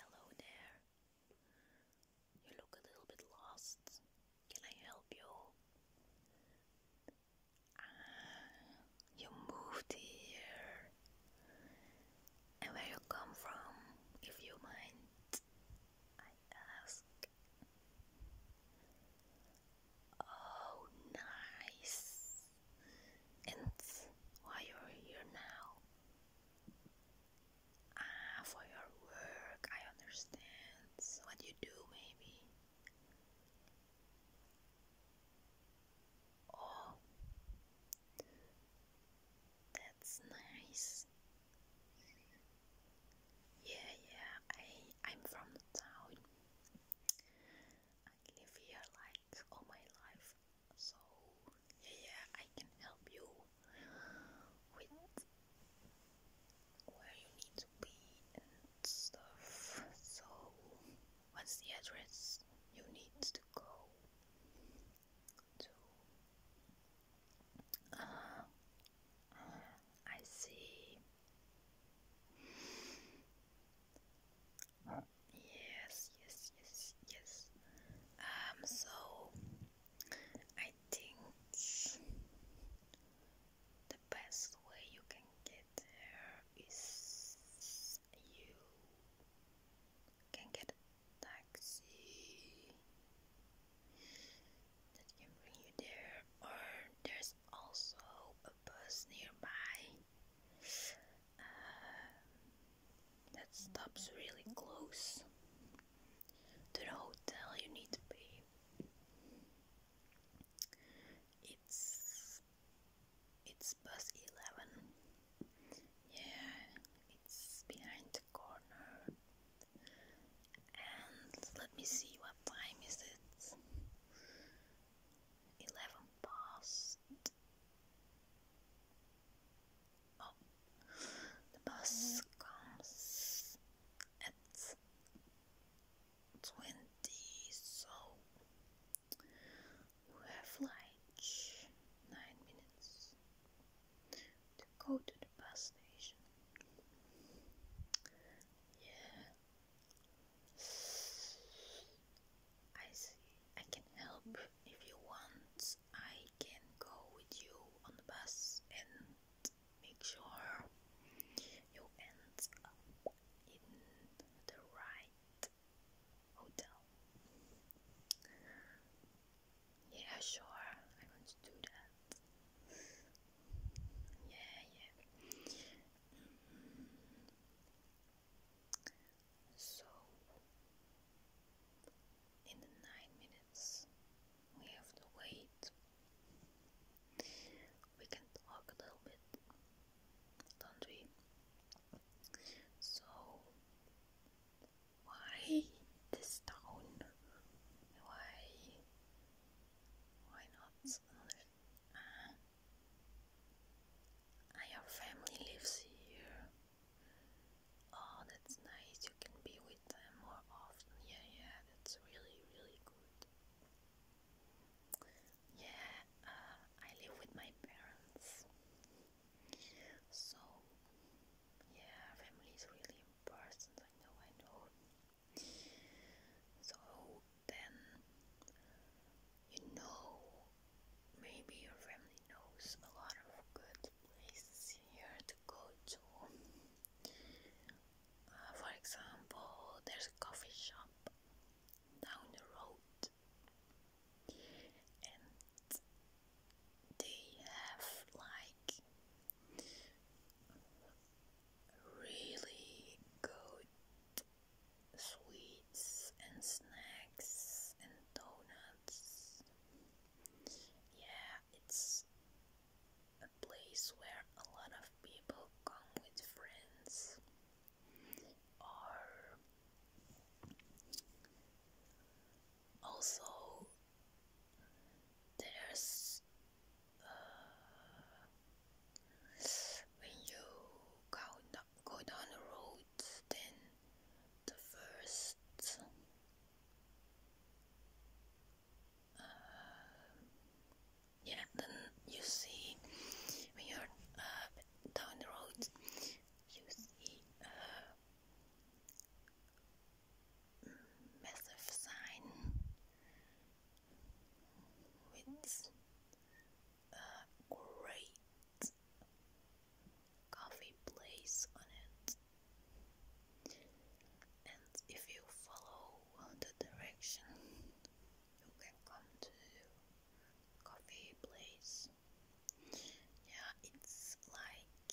Hello there. You look a little bit lost. Can I help you? Ah, you moved here. And where you come from, if you mind, I ask. Oh, nice. And why you're here now. Ah, for your work, I understand. what you do, maybe. Oh, that's nice. Yeah, yeah. I I'm from the town live here like all my life. So yeah, I can help you with where you need to be stuff. So what's the address you need to go to? Uh, uh I see. Yes, yes, yes, yes. Um, so I think the best way you can get there is you can get a taxi that can bring you there, or there's also a bus nearby um, that stops really close to the hotel you need to be. It's it's bus eleven. Yeah, it's behind the corner. And let me see what time is it eleven past. Oh, the bus comes at twenty, so we have like nine minutes to go to the bus station. Yeah, I see. I can help if you want. I can go with you on the bus and make sure you end up in the right hotel. Yeah, sure. I'm to do that. Yeah, yeah. So, in the nine minutes we have to wait. We can talk a little bit, don't we? So, why this town? Why why not? Uh, your family lives here. Oh, that's nice. You can be with them more often. Yeah, yeah, that's really, really good. Yeah, uh, I live with my parents. So, yeah, family is really important. I know, I know. So then you know, maybe your family knows a lot of good places here to go to. Uh, for example, there's a coffee shop down the road, and they have like really good sweets and snacks and donuts. Yeah, it's a place where a lot of people come with friends also there's uh, when you go down, go down the road, then the first uh, yeah, then you see when you're uh, down the road, you see massive sign with a great coffee place on it. And if you follow the direction, you can come to coffee place. Yeah, it's like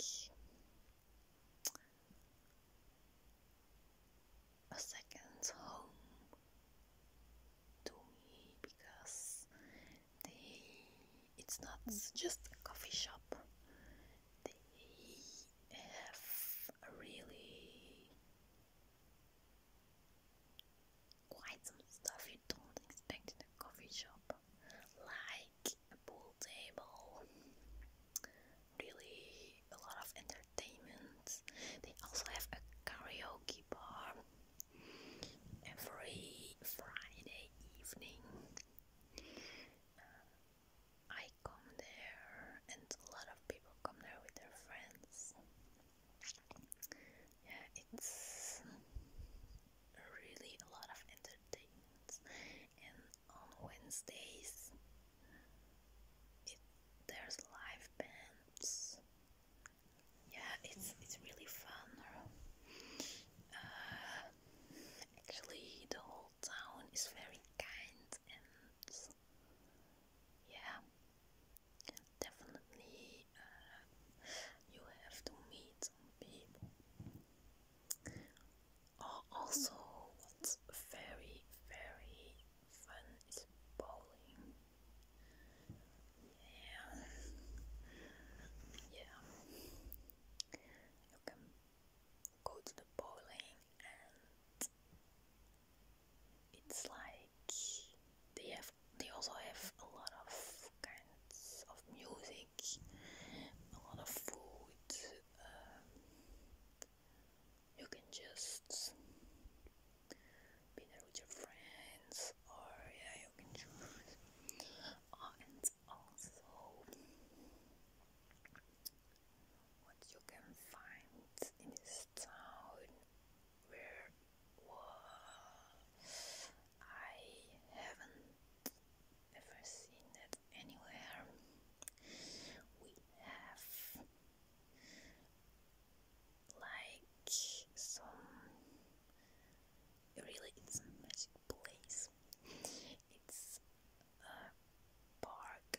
a second home to me because they it's not just a coffee shop they have really quite some stuff you don't expect in a coffee shop like a pool table, really a lot of entertainment. They also have a karaoke bar every Friday evening. Uh, I come there, and a lot of people come there with their friends. Yeah, it's really a lot of entertainments, and on Wednesdays it, there's live bands. Yeah, it's it's really fun. Uh, actually, the whole town is very kind and yeah, definitely you have to meet some people. Oh, also, what's very, very fun is bowling. Yeah, yeah. You can go to the bowling and it's like they have they also have a lot of kinds of music, a lot of food. Um, you can just be there with your friends, or yeah, you can choose. Oh, and also, what you can find in this town where was I haven't ever seen it anywhere. We have like some really it's a magic place. It's a park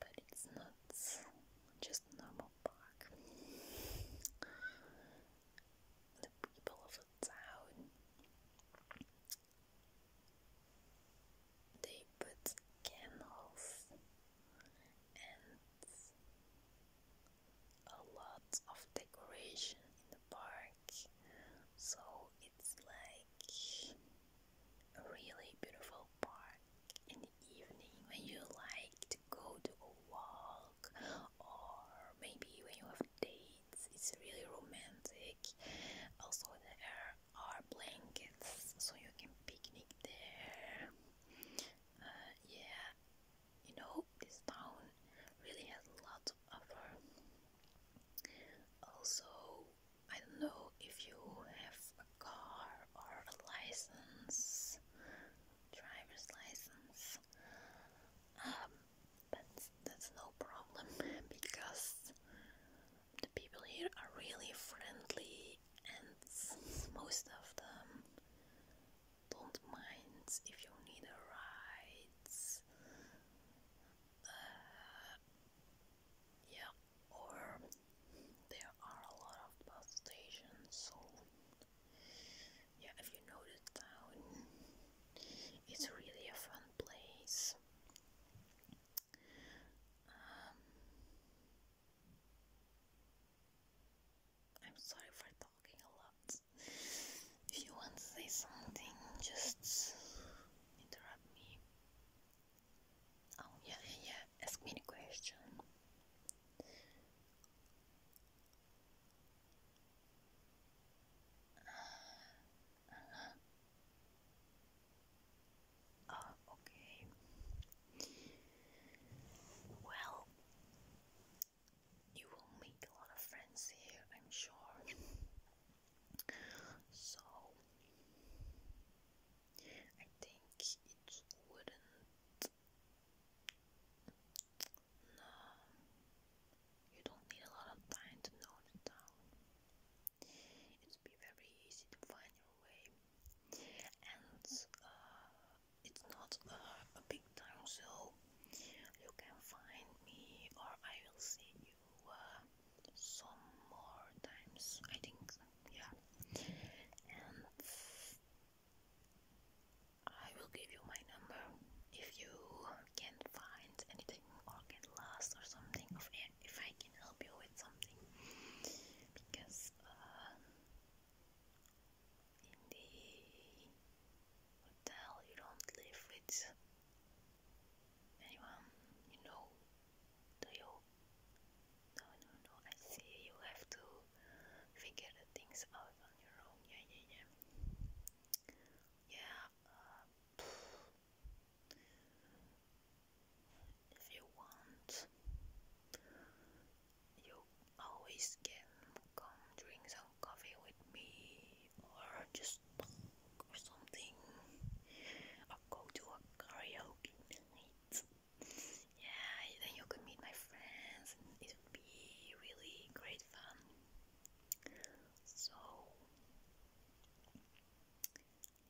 but it's not just normal park. The people of the town they put candles and a lot of decoration in the park, so it's like a really beautiful park in the evening when you like go to a walk, or maybe when you have dates, it's really romantic. Also, there are blankets, so you can picnic there. Uh, yeah, you know, this town really has a lot to offer. Also, I don't know if you have car or license, driver's license. but um, that's no problem because the people here are really friendly and most of them don't mind if you need a ride. Uh, yeah, or there are a lot of bus stations so yeah if you know the town it's really a fun place um, I'm sorry for talking a lot if you want to say something just interrupt me Oh yeah, yeah, Ask me the question. Uh, uh-huh. oh, okay. Well, you will make a lot of friends here, I'm sure. So, I think it wouldn't. No, you don't need a lot of time to note it down. It would be very easy to find your way, and uh, it's not a big time, so you can find me, or I will see you uh, some more times, I think, yeah. I will give you my number if you can find anything or get lost or something, or if I can help you with something. Because uh, in the hotel you don't live with anyone you know do you? No, no, no. I see. You have to figure things out on your own. Yeah, yeah, yeah. Yeah. Uh, if you want, you always can come drink some coffee with me, or just talk or something, go to a karaoke night. Yeah, then you could meet my friends, it would be really great fun. So,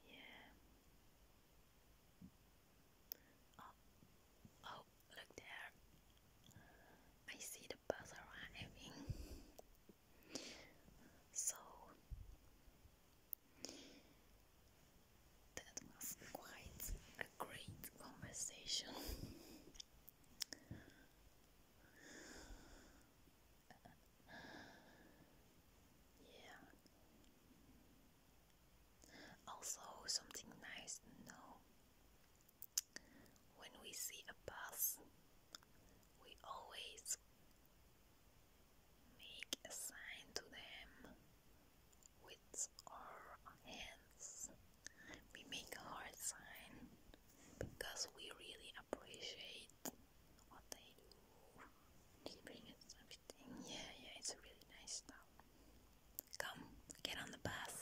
yeah. Oh, oh look there. I see the bus arriving. So that was quite a great conversation. yeah. Also, something nice to know when we see a bus we always make a sign to them with our hands. We make a heart sign because we really appreciate what they do. They everything. Yeah, yeah, it's a really nice stuff. Come, get on the bus.